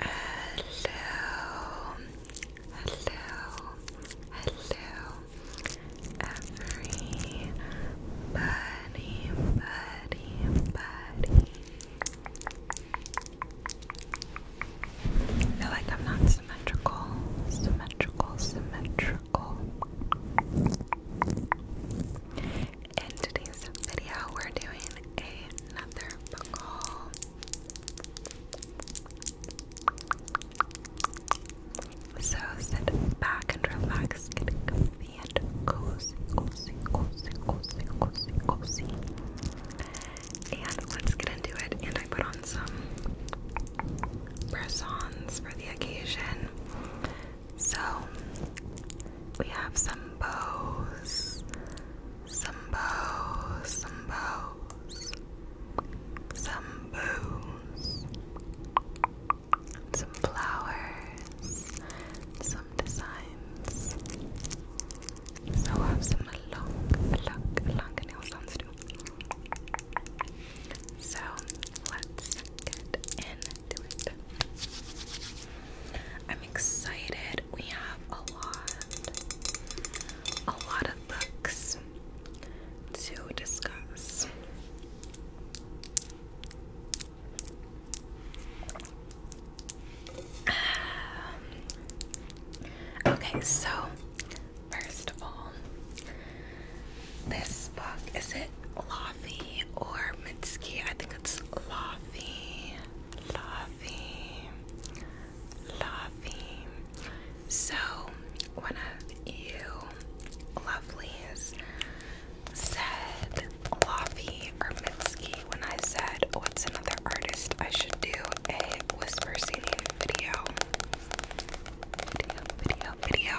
Hello, hello, hello, everybody, buddy, buddy. I feel like I'm not symmetrical, symmetrical, symmetrical. In today's video, we're doing another book call. So sit back and relax, get comfy and cozy, cozy, cozy, cozy, cozy, cozy. And let's get into it. And I put on some persons for the occasion. So we have some bows, some bows, some bows, some bows, some flowers, some designs. So I have some long, long, long nail sounds too. So let's get into it. I'm excited we have a lot, a lot of books to discuss. Um, okay, so first of all, this book is it Laffy or Mitski? I think it's Laffy. Lovely. Lovely. So, one of you lovelies said Laffy or Minsky when I said, What's another artist I should do a whisper singing video? Video, video, video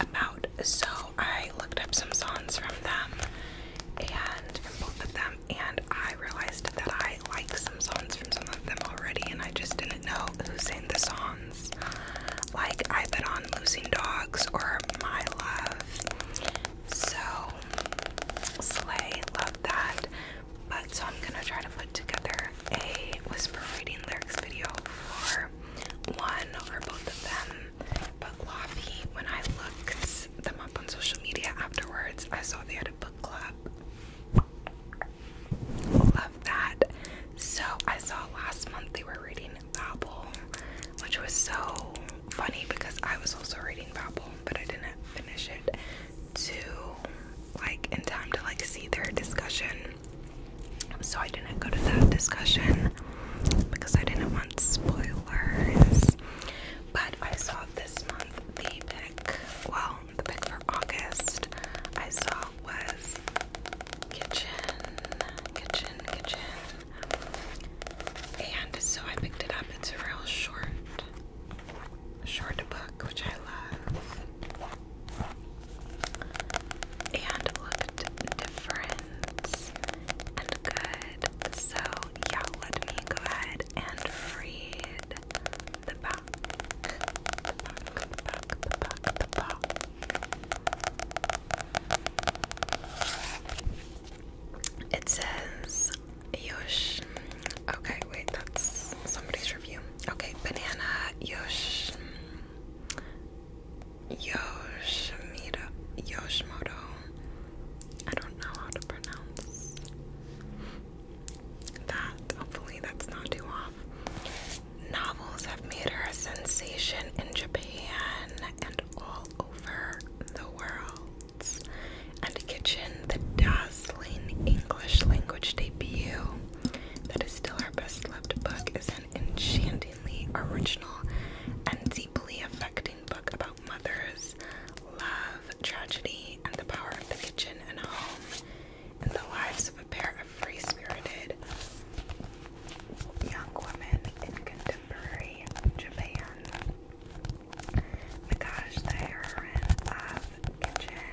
about. So, I looked up some songs from them and from both of them and I realized that I like some songs from some of them already, and I just didn't know who sang the songs. Like I have Been on Losing Dogs or My Love. So Slay, love that. But so I'm gonna try to put together a whisper reading lyrics video for one or both of them. But Laffy, when I looked them up on social media afterwards. I saw they had a book club. Love that. So I saw last month they were reading Babel, which was so funny because I was also reading Babel, but I didn't finish it to like in time to like see their discussion. So I didn't go to that discussion because I didn't want spoilers. But I saw this month the pick, well, the pick for August I saw was kitchen, kitchen, kitchen. And so I picked it up. It's a real short, short book, which I love. And looked different and good good. So, yeah, let me go ahead and read the back. The back, the back, the back, the back. It says, Yosh. Okay, wait, that's somebody's review. Okay, banana, Yosh. Yoshimiro, Yoshimoto I don't know how to pronounce that. Hopefully, that's not too off. Novels have made her a sensation in Japan and all over the world. And Kitchen, the dazzling English language debut that is still our best loved book, is an enchantingly original and deeply affecting book about mothers, love, tragedy, and the power of the kitchen and home in the lives of a pair of free spirited young women in contemporary Japan. Nagash, the heroine of Kitchen,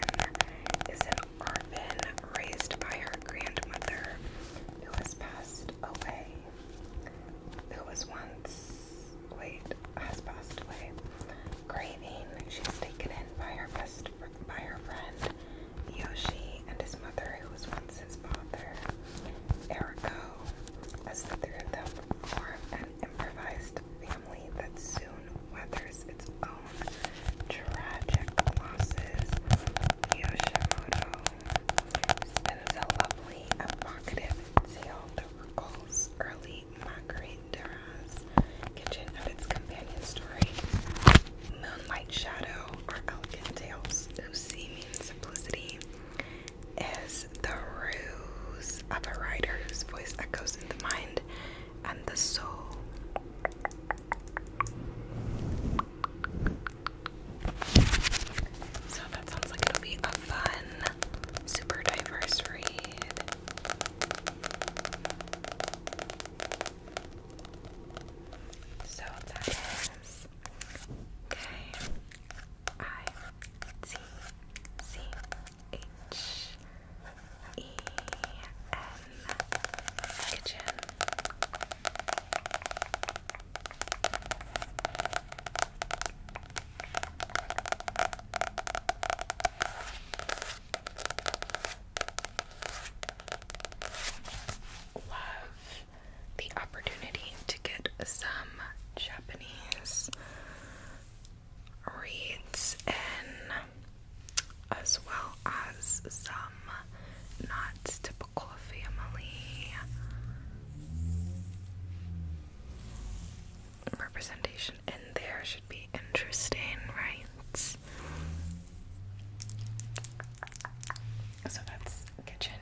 is an orphan raised by her grandmother who has passed away who was once, wait, has passed away, grieving. She's taken in by her best, by her friend Yoshi and his mother, who was once his father, Eriko, as the three of them form an improvised family that soon weathers its own tragic losses. Yoshimoto spins a lovely, evocative tale uncle's early Margarita's kitchen of its companion story, Moonlight Shadow, or Elegant Tales of Seeming Simplicity, is the ruse of a writer whose voice echoes in the mind and the soul. So that sounds like it'll be a fun super diverse read. So that is K I T C H E N kitchen. Love the opportunity to get some Japanese reads in, as well as some not typical family representation in there should be interesting, right? So that's kitchen.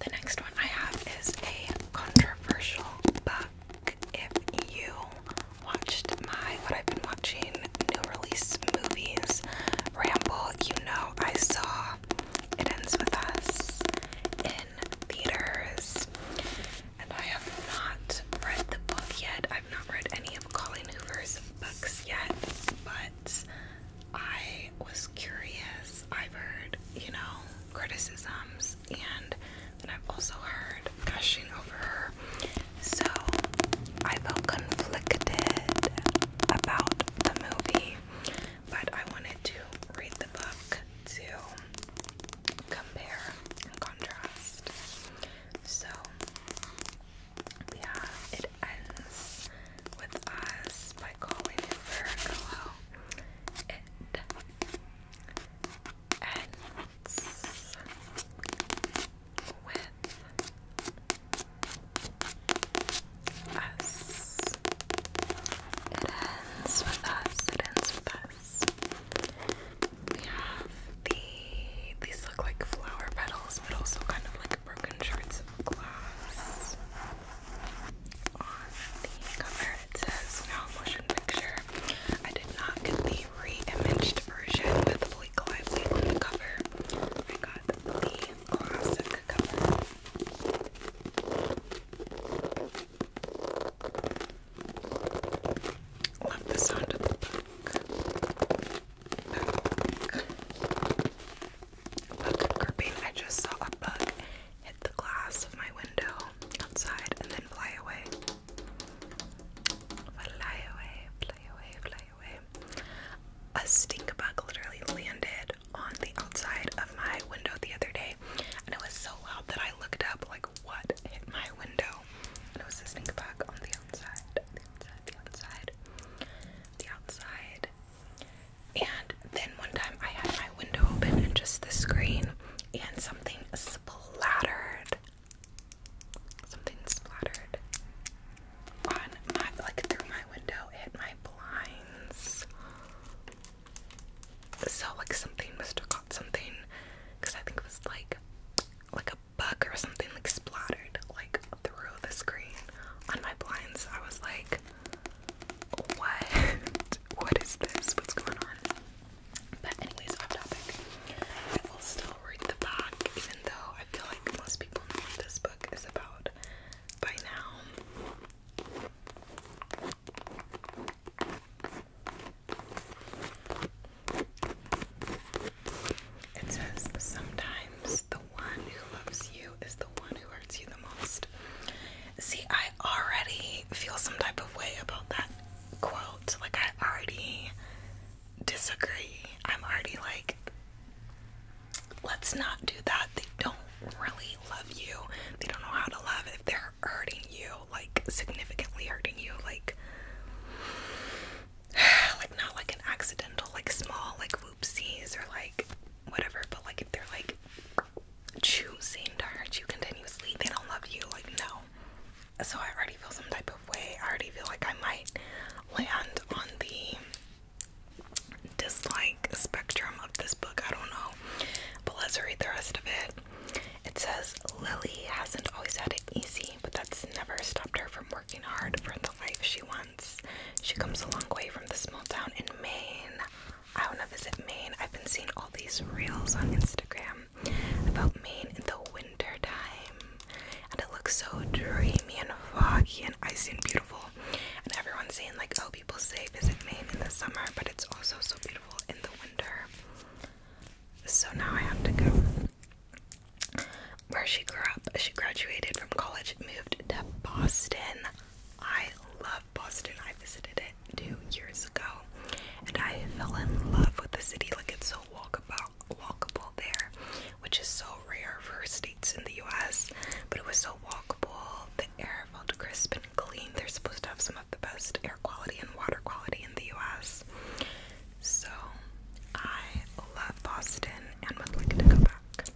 The next one I have is a controversial If you watched my what I've been watching new release movies ramble, you know I saw it Ends With Us in theaters. And I have not read the book yet. I've not read any of Colleen Hoover's books yet, but I was curious. I've heard, you know, criticisms, and then I've also heard gushing over her. So I felt conflicted about the movie, but I wanted to read the book to compare and contrast. So yeah, it ends with us by calling it Virgo. It ends with us. It ends with us. It ends with us. We have the these look like flower petals, but also kind of like broken shards of glass. On the cover it says now motion picture. I did not get the re-imaged version with Blake Lively on the cover. I got the classic Love the sound of the bug. Bug, bug I just saw a bug hit the glass of my window outside and then fly away. Fly away, fly away, fly away. A stink bug literally landed on the outside of my window the other day, and it was so loud that I looked up like what hit my window, and it was this stink bug on the outside, the outside, the outside, the outside. And then one time I had my window open and just the screen, and something splattered. Something splattered on like through my window. hit my blinds so like something must have caught something because I think it was like like a bug or something like splattered like through the screen on my blinds. I was like, what? what is this? What's going on? But anyways, off topic. I will still read the back, even though I feel like most people know this book is about by now. It says sometimes the one who loves you is the one who hurts you the most. See, I already feel some type of way about that quote. Like, I already disagree. I'm already like, let's not do that. They don't really really love you, they don't know how to love if they're hurting you, like significantly hurting you, like like not like an accidental, like small, like whoopsies or like whatever, but like if they're like choosing to hurt you continuously, they don't love you, like no. So I already feel some type of way. I already feel like I might land on the dislike spectrum of this book. I don't know. But let's read the rest of it. It says Lily hasn't always had it easy, but that's never stopped her from working hard for the life she wants. She comes a long way from the small town in Maine. I want to visit Maine. I've been seeing all these reels on Instagram about Maine in the wintertime, And it looks so dreamy and foggy and icy and beautiful. And everyone's saying like, oh, people say visit Maine in the summer, but it's also so beautiful in the winter. So now I have to go. Where she grew up, she graduated from college moved to Boston. I love Boston. I visited it two years ago, and I fell in love with the city. Like it's so walkable, walkable there, which is so rare for states in the U.S. But it was so walkable. The air and clean. They're supposed to have some of the best air quality and water quality in the US. So I love Boston and would like to go back.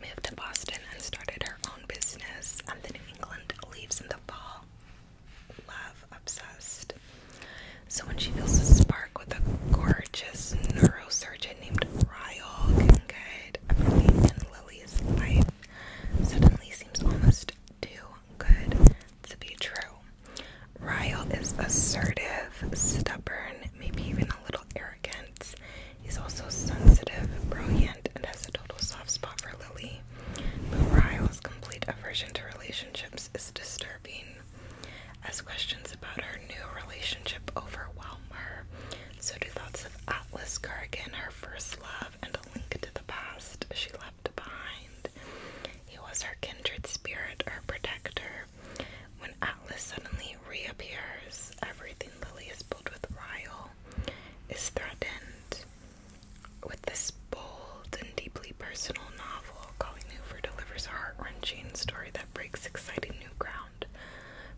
Moved to Boston and started her own business and then England leaves in the fall. Love obsessed. So when she feels a spark with a gorgeous neurosurgeon named Ryle Kincaid, everything Lily's life suddenly seems almost too good to be true. Ryle is assertive, stubborn, maybe even a little arrogant. He's also sensitive, brilliant, and has a total soft spot for Lily. But Ryle's complete aversion to relationships is disturbing. As questions about her new relationship overwhelm her, so do thoughts of Atlas Gargan, her first love, and a link to the past she left behind. He was her kindred spirit, her protector. When Atlas suddenly reappears, everything Lily is built with Ryle is threatened. With this bold and deeply personal novel, Colleen Hoover delivers a heart wrenching story that breaks exciting new ground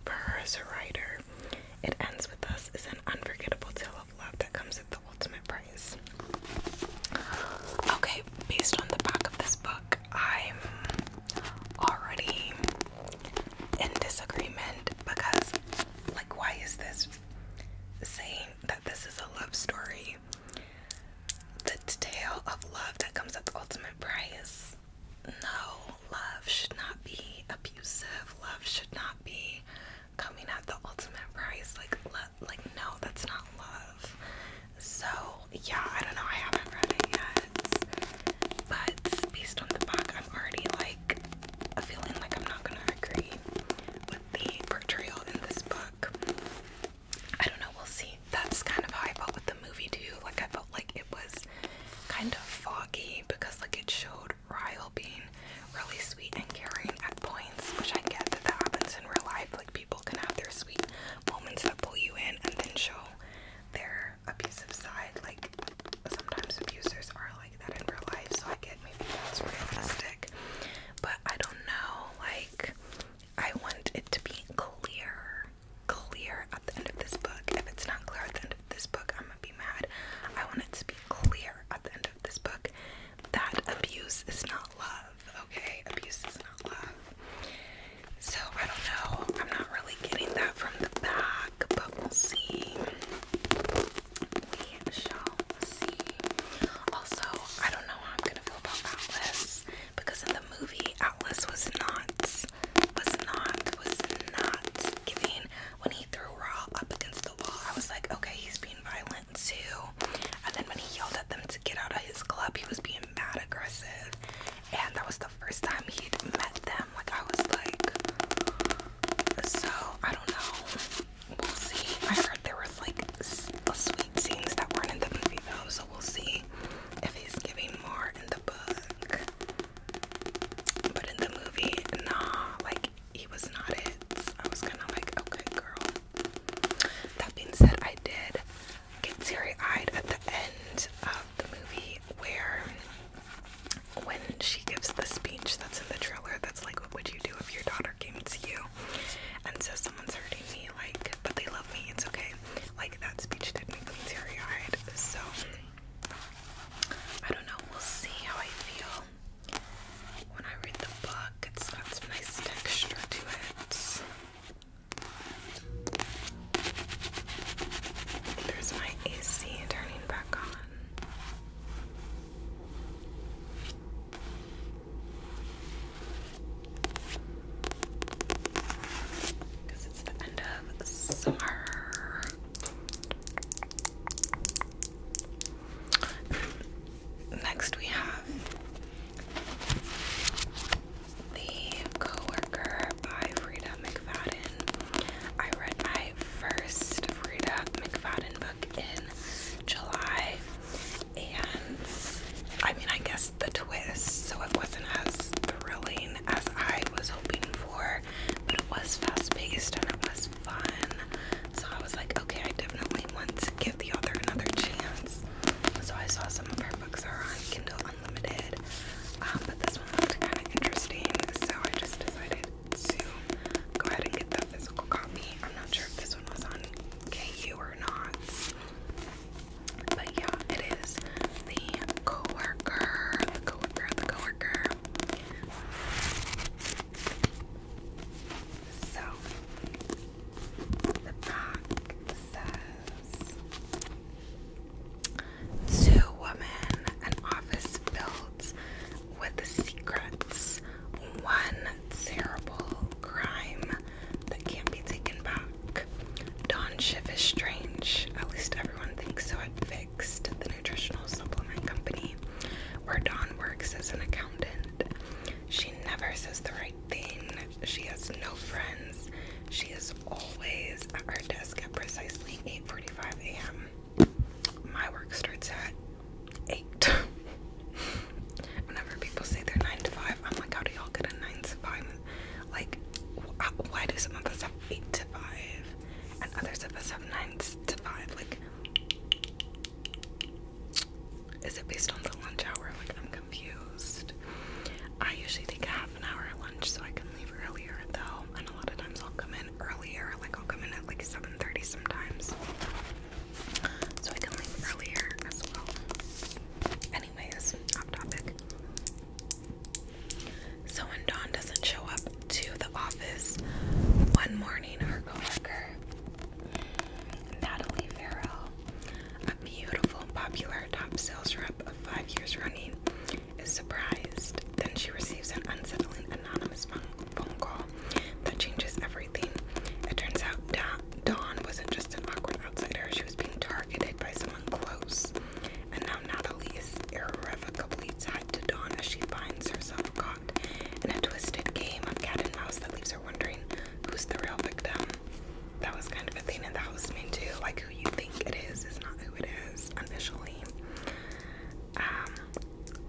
for her as a writer it ends with us is an unforgettable tale of love that comes at the ultimate price. Okay, based on the back of this book, I'm already in disagreement because, like, why is this saying that this is a love story? The tale of love that comes at the ultimate price no, love should not be abusive. Love should not be coming at the ultimate price. Like, le like no, that's not love. So yeah, I don't know. I haven't read it yet, but based on the book, I'm already like feeling like I'm not gonna agree with the portrayal in this book. I don't know. We'll see. That's kind of how I felt with the movie too. Like I felt like it was kind of foggy because like it showed Ryle being really sweet and caring at points, which I get that that happens in real life. Like people can have their sweet moments that pull you in and then show their abusive side. Like sometimes abusers are like that in real life, so I get maybe that's realistic. But I don't know, like I want it to be clear. Clear at the end of this book. If it's not clear at the end this book, I'm gonna be mad. I want it to be clear at the end of this book that abuse is not love, okay? Abuse is not love. So, I don't know. I'm not really getting that from the back, but we'll see. We shall see. Also, I don't know how I'm gonna feel about Atlas because in the movie, Atlas was not, was not, was not giving when he threw Raw up against the wall, I was like, okay, he's being violent too. And then when he yelled at them to get out of his club, he was being mad aggressive. And that was the first time he'd met them. Like, I was like, so I don't know. We'll see. I heard there was like sweet scenes that weren't in the movie though, so we'll see if he's giving more in the book. But in the movie, nah, like he was not it. I was kind of like, okay, girl. That being said, I did get teary eyed at the end of the movie where when she gives the speech that's in the trailer that's like, what would you do if your daughter came to you and says someone's hurting me? Like, but they love me, it's okay. Like, that speech did make me teary eyed. So. I don't know, we'll see how I feel when I read the book. It's got some nice texture to it. There's my AC turning back on. Because it's the end of summer. Next, we have The Coworker by Frida McFadden. I read my first Frida McFadden book in July, and I mean, I guess the twist, so it wasn't as thrilling as I was hoping for, but it was fast paced and it was fun. So I was like, okay, I definitely want to give the author another chance. So I saw some of her books are on Kindle Unlimited, um, but this one looked kind of interesting, so I just decided to go ahead and get the physical copy. I'm not sure if this one was on KU or not. But yeah, it is the coworker, the coworker, the coworker so the back says two women, an office built with secrets, one terrible crime that can't be taken back. Don Schiff is strange. At least everyone thinks so. It fixed nutritional supplement company where Dawn works as an accountant. She never says the right thing, she has no friends. She is always at her desk at precisely 8:45 a.m. My work starts at 8. Whenever people say they're 9 to 5, I'm like, how do y'all get a 9 to 5? Like, why do some of us have 8 to 5 and others of us have 9 to five. Like, is it based on the lunch hour? Like, I'm confused. I usually take a half an hour lunch so I can leave earlier, though. And a lot of times I'll come in earlier. Like, I'll come in at like 7:30 sometimes, so I can leave earlier as well. Anyways, off topic. So when Dawn doesn't show up to the office one morning, her coworker Natalie Farrell, a beautiful popular top sales rep of five years running, is surprised. Then she receives an unsettling anonymous phone call that changes everything. It turns out Dawn wasn't just an awkward outsider; she was being targeted by someone close and now Natalie is irrevocably tied to Dawn as she finds herself caught in a twisted game of cat and mouse that leaves her wondering who's the real victim. That was kind of a thing and that was me too, like who you think it is is not who it is initially. Um,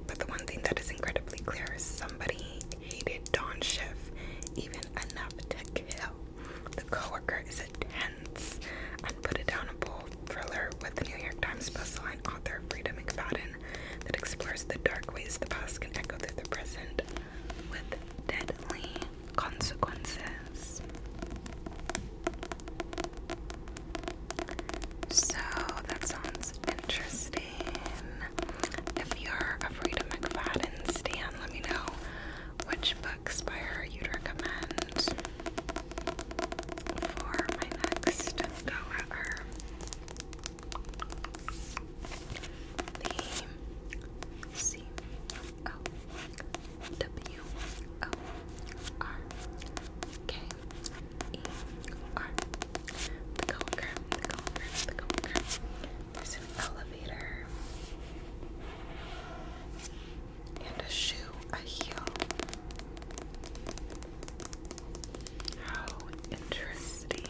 but the one thing that is incredibly clear is somebody hated Dawn Schiff even enough to kill. The coworker is intense put it down a bold thriller with the New York Times best-selling author Frida McFadden that explores the dark ways the past can echo through the present with deadly consequences. So that sounds interesting. If you're a Frida McFadden stan, let me know which books by her you recommend for my next go The C O W O R K E R. The Coker, the Coker, the Coker. There's an elevator and a shoe a heel. How interesting.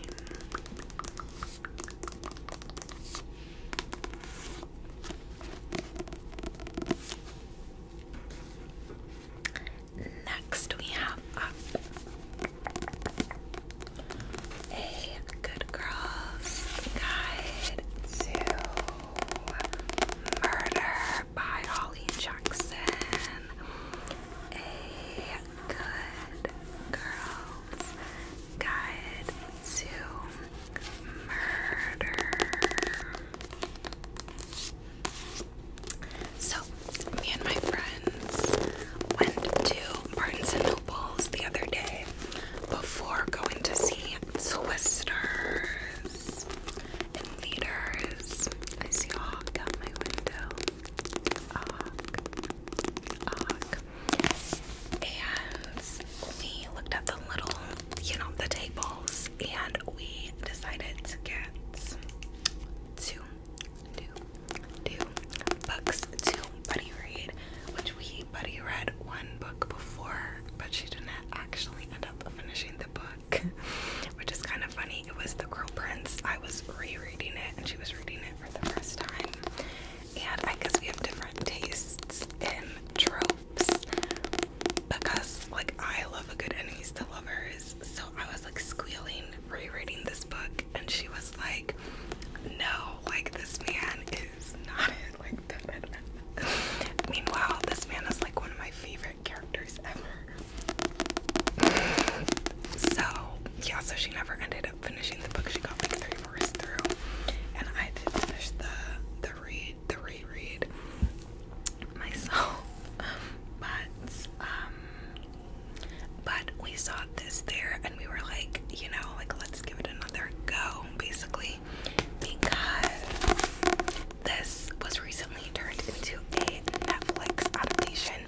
Next, we have a good girls guide to Murder by Holly Jackson. A good girl's guide to murder. So, me and my friends went to Barnes and Noble's the other day before going to see Twisters and leaders. I see out my window. A hawk. A And we looked at the little, you know, the tables, and we decided to get two, two, two books to buddy read, which we buddy read one book before, but she didn't actually end up finishing the book which is kind of funny. It was The Girl Prince. I was rereading it, and she was reading it for the first time. And I guess we have different tastes in tropes because, like, I love a good enemies to lovers. So I was like squealing, rereading this book, and she was like, No, like, this man is not it. Like, Meanwhile, this man is like one of my favorite characters ever so yeah, so she never ended up finishing the book. She got like three fourths through, and I did finish the the read the reread myself. But um, but we saw this there, and we were like, you know, like let's give it another go, basically, because this was recently turned into a Netflix adaptation.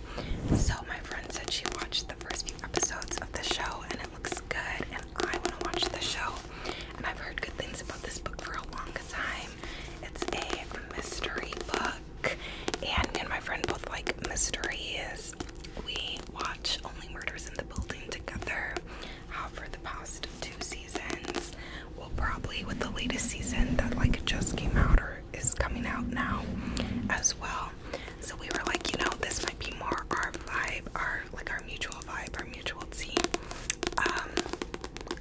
So my friend said she watched the first few episodes of the show and it looks good and I want to watch the show. And I've heard good things about this book for a long time. It's a mystery book and my friend both like mysteries. We watch Only Murders in the Building together uh, for the past seasons. Well, probably with the latest season that like just came out or is coming out now as well. So we were like, you know, this might be more our vibe, our like our mutual vibe, our mutual team. Um,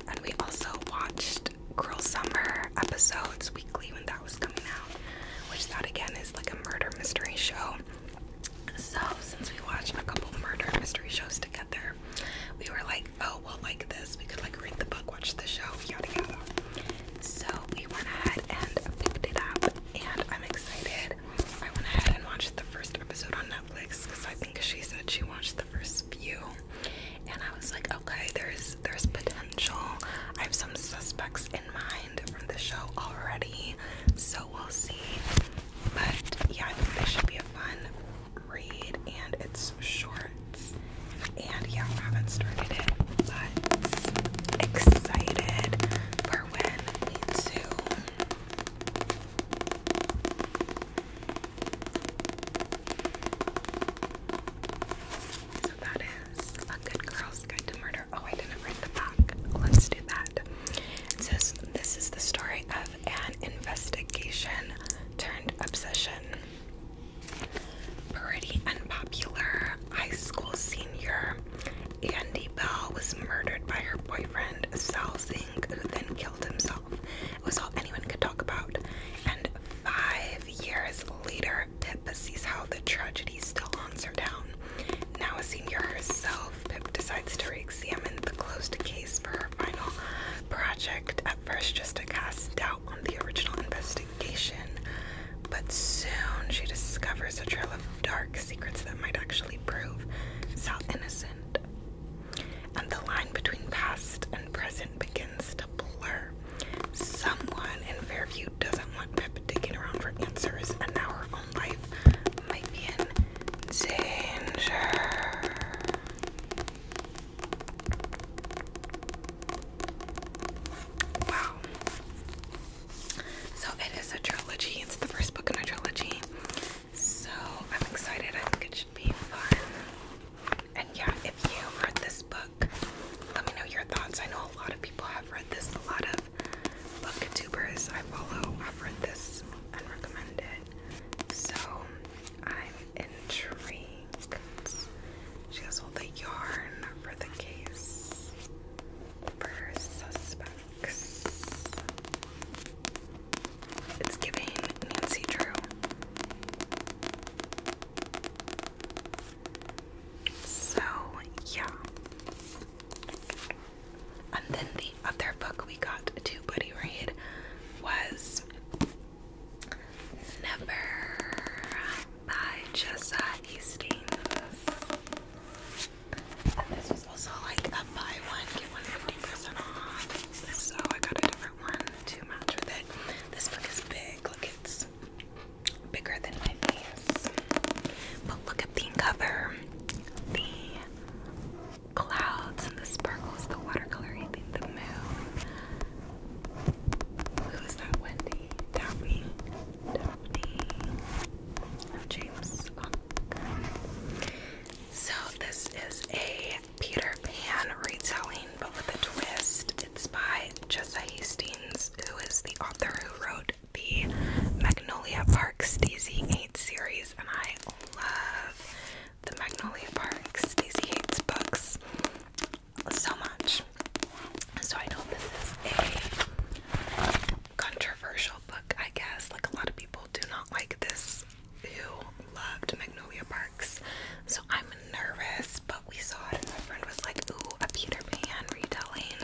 and we also watched *Girl Summer episodes weekly when that was coming out, which that again is like a murder mystery show. So since we watched a couple murder mystery shows together, we were like, oh, we like this. We could like read the book, watch the show, yada yada. So we went ahead and picked it up, and I'm excited. I went ahead and watched the first episode on Netflix because I think she said she watched the first few, and I was like, okay, there's there's potential. I have some suspects in mind from the show already, so we'll see. But yeah, I think this should be fun read and it's short. And yeah, I haven't started it, but excited for when we do. So that is A Good Girl's Guide to Murder. Oh, I didn't read the back. Let's do that. It says, This is the story of an investigation turned obsession. Pretty unpopular high school senior Andy Bell was murdered by her boyfriend Sal Zing, who then killed himself. It was all anyone could talk about. And five years later, Pip sees how the tragedy still haunts her town. Now a senior herself, Pip decides to re examine the closed case for her final project first just to cast doubt on the original investigation, but soon she discovers a trail of dark secrets that might actually prove Sal innocent. And the line between past and present begins to blur. Someone in Fairview doesn't want Pip digging around for answers, and now her own life might be in danger. Wow. So it is a trilogy. It's the first book in a trilogy. So I'm excited. I think it should be fun. And yeah, if you've read this book, let me know your thoughts. I know a lot of people have read this. A lot of book booktubers I follow have read this and recommend it. So I'm intrigued. She has all the yarn for the case for suspects. It's giving Nancy Drew. So, yeah. And then the other book we got to buddy read was Never by Jessa Hastings. And this was also like a buy one, get one percent off. So I got a different one to match with it. This book is big. Look, it's bigger than my face. But look at the cover. The clouds and the sparkles, the watercolor, the moon. Who is that? Wendy? Daphne? Daphne? Oh, James. So this is a Peter Pan retelling, but with a twist. It's by Jessa Hastings, who is the author who wrote the Magnolia Park Stacey 8 series, and I love the Magnolia Parks. Daisy hates books so much. So I know this is a controversial book, I guess. Like a lot of people do not like this who loved Magnolia Parks. So I'm nervous, but we saw it and my friend was like, ooh, a Peter Pan retelling.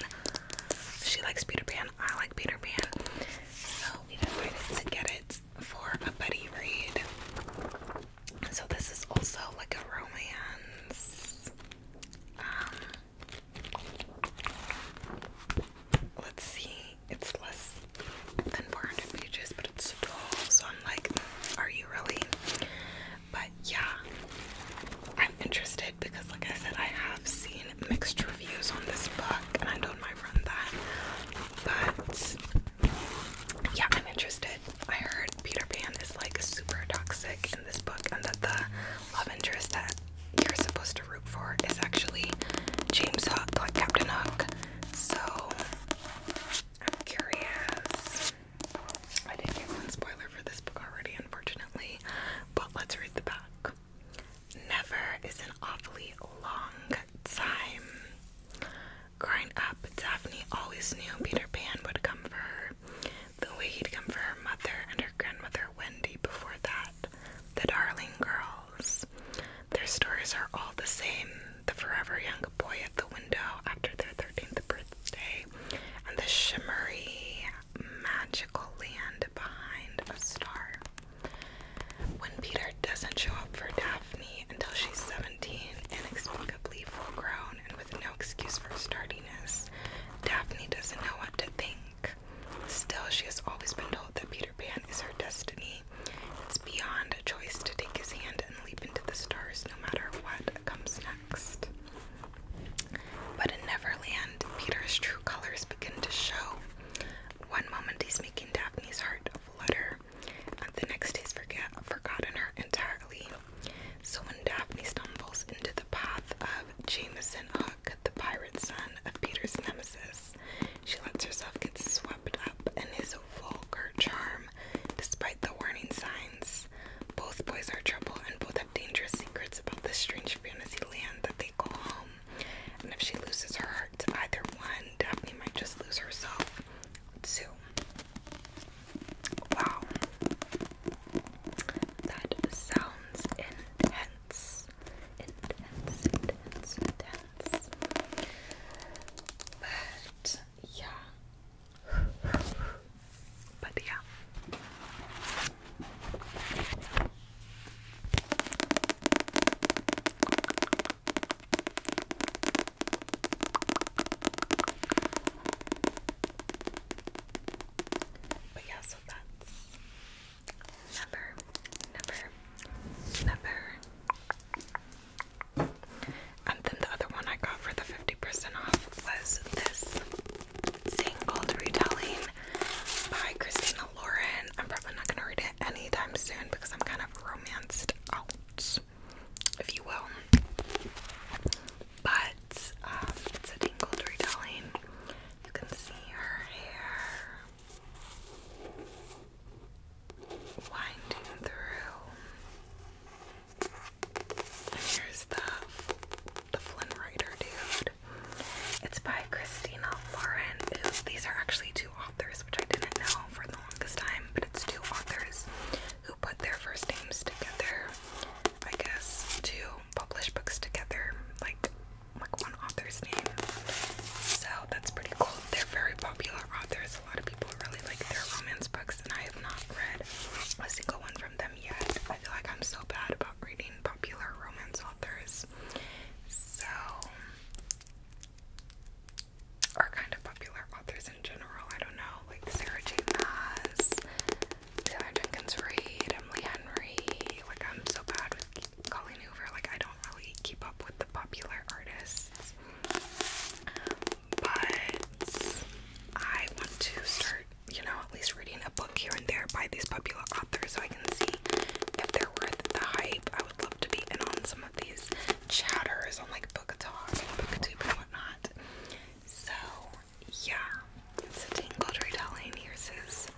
She likes Peter Pan, I like Peter Pan. So we decided to get it for a buddy read. So this is also like a romance. Um, let's see. It's less than 400 pages, but it's tall. So I'm like, are you really? But yeah, I'm interested because, like I said, I have seen mixed reviews on this book, and I told my friend that but yeah, I'm interested. I heard Peter Pan is like super toxic in this book, and that the love interest that you're supposed to root for is actually James Hook, like Captain Hook. So I'm curious. I did get one spoiler for this book already, unfortunately, but let's read the back. Never is an awfully long time. Growing up, Daphne always knew Peter Pan would come for her, the way he'd come for her mother and her grandmother Wendy before that, the darling girls. Their stories are all the same the forever young boy at the window after their 13th birthday, and the shimmery, magical land behind a star. When Peter doesn't show up for Daphne, until she's 17, inexplicably full grown, and with no excuse for stardiness. Daphne doesn't know what to think. Still, she has always been told that Peter Pan is her destiny. It's beyond a choice to take his hand and leap into the stars no matter what comes next. But in Neverland, Peter's true colors begin to show. One moment he's making Daphne's heart flutter, uh, the next day is forget forgotten her entirely. So when Daphne stumbles into the path of Jameson Hook, the pirate son of Peter's nemesis, she lets herself get swept up in his vulgar charm, despite the warning signs. Both boys are trouble, and both have dangerous secrets about this strange fantasy land that they call home. And if she loses her heart to either one, Daphne might just lose herself too. Wow. That sounds intense. Intense, intense, intense. But yeah. But yeah. But yeah, that's number, number, number. And then the other one I got for the 50% off was this single retelling by Christina Lauren. I'm probably not gonna read it anytime soon because I'm kind of romanced out if you will. But um, it's a tingled retelling. You can see her hair winding through. here's the the Flynn Rider dude. It's by Christina Lauren. These are actually two authors, which I didn't know the longest time, but it's two authors who put their first names together, I guess, to publish books together, like like one author's name. So that's pretty cool. They're very popular authors. A lot of people really like their romance books, and I have not read a single one from them yet. I feel like I'm so bad about reading popular romance authors. So are kind of popular authors in general. I don't know, like Sarah J. Maas, Taylor Jenkins Reid, Emily Henry. Like I'm so bad with Colleen over. Like I don't really keep up with the popular artists, but I want to start, you know, at least reading a book here and there by these popular authors so I can see if they're worth the hype. I would love to be in on some of these chatters on like Book Talk and BookTube and whatnot. So yeah, it's a Tangled retelling. Here's his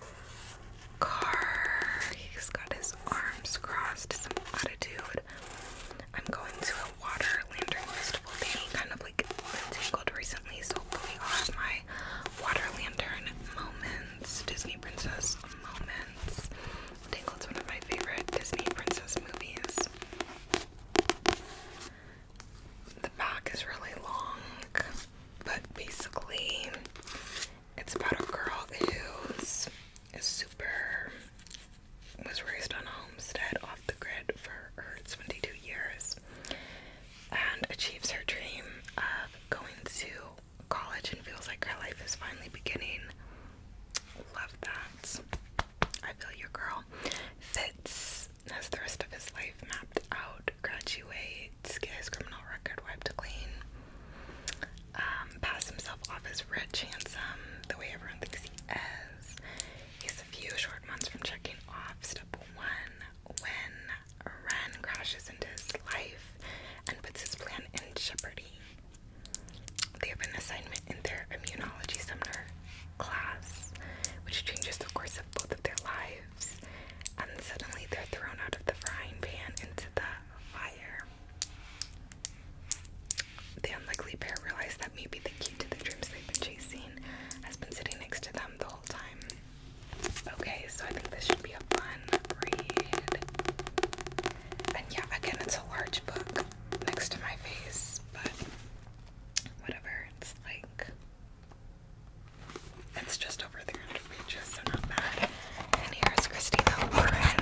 car. He's got his arms crossed, some attitude. I'm going to a water lantern festival thing, kind of like Tangled recently, so hopefully all will have my water lantern moments, Disney princess moments. Tangled's one of my favorite Disney princess movies. The back is really long, but basically, it's about a girl who's super was raised on a homestead off the grid for her 22 years and achieves her dream of going to college and feels like her life is finally beginning Love that. I feel your girl. Fitz has the rest of his life mapped out. Graduates, get his criminal record wiped clean. Um, himself off as rich, handsome, the way everyone thinks he is. He's a few short months from checking off step one when Ren crashes into his life and puts his plan in jeopardy. They have an assignment in their immunology summer class, which changes the course of both of their lives, and suddenly they're thrown out of the frying pan into the fire. The unlikely pair realize that maybe the key to the dreams they've been chasing has been sitting next to them the whole time. Okay, so I think this should be a fun read. And yeah, again, it's a large book next to my face, but whatever. It's like it's just over 300 pages, so not bad. And here's Christina Lauren.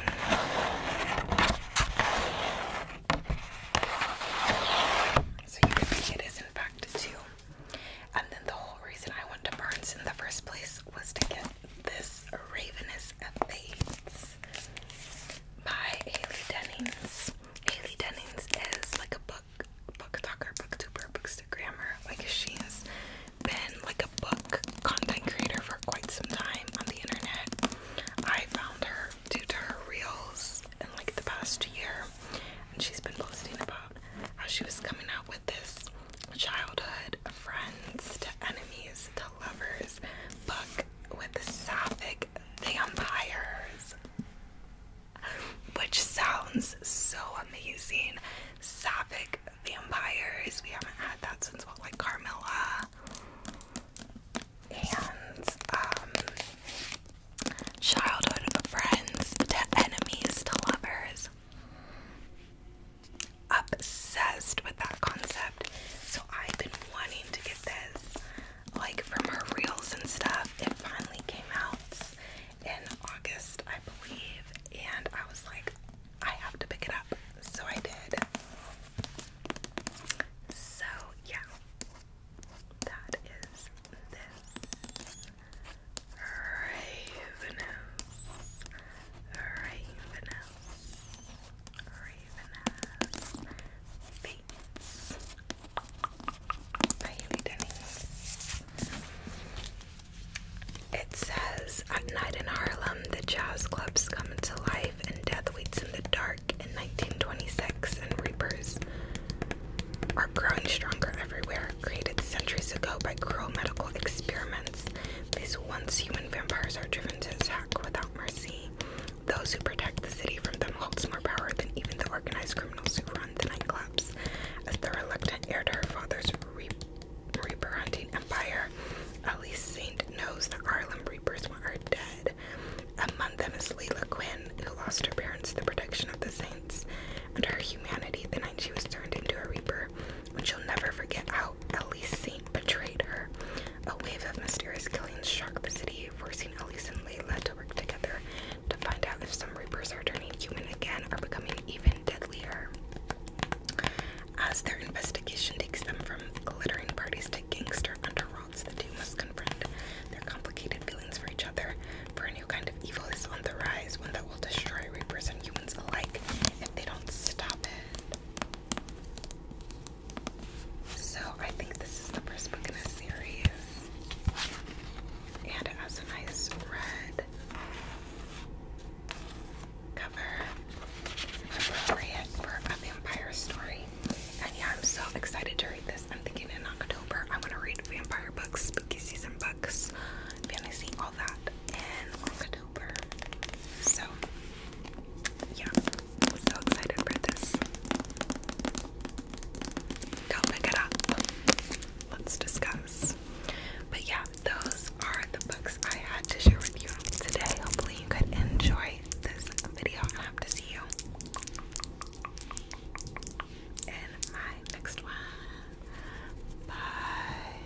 So you can see it is in fact two. And then the whole reason I went to Barnes in the first place was to get this Ravenous FA Dennings by Haley Dennings. Haley Dennings is like a book book talker, booktuber, bookstagrammer. Like she has been like a book content creator for quite some time on the internet. I found her due to her reels in like the past year and she's been posting about how she was coming out with this childhood friends to enemies to lovers book with the sapphic vampires, which sounds so amazing. Sapphic vampires. We haven't had that since well, like Carmilla. And um, childhood friends to enemies to lovers. Obsessed with that concept. So I've been wanting to get believe this. Like from her reels and stuff. It finally came out in August, I believe, and I was like, I have to pick it up. So I did. So yeah. That is this. Ravenous. Ravenous. Ravenous Fates by Haley It says, At night in Harlem, the jazz clubs come to life and death waits in the dark in 1926 and reapers are growing stronger everywhere, created centuries ago by cruel medical experiments. These once human vampires are driven to attack without mercy. Those who protect the city from them holds more power than even the organized criminals who run the nightclubs. As the reluctant heir to her father's reaper hunting empire, Alice Saint knows the Harlem Reapers are dead. Among them is Leela Quinn, who lost her parents to the protection of the Saints, and her humanity the night she was turned into a Reaper, which she'll never forget how Alice Saint betrayed her. A wave of mysterious killings shocked the city, forcing Elise and Layla to work together to find out if some Reapers are turning human again or becoming even deadlier. As their investigation takes them from glittering parties to gangster underworlds, the two must confront their complicated feelings for each other, for a new kind of evil is on the rise, one that will destroy Reapers and humans alike if they don't stop it. So I think this is the first book in the series. And it has a nice red cover. Appropriate for a vampire story. And yeah, I'm so excited to read this. I'm thinking in October I'm gonna read vampire books, spooky season books, fantasy, all that in October. So yeah. So excited for this. Go pick up. Let's discuss. But yeah, those are the books I had to share with you today. Hopefully, you could enjoy this video. I hope to see you in my next one. Bye.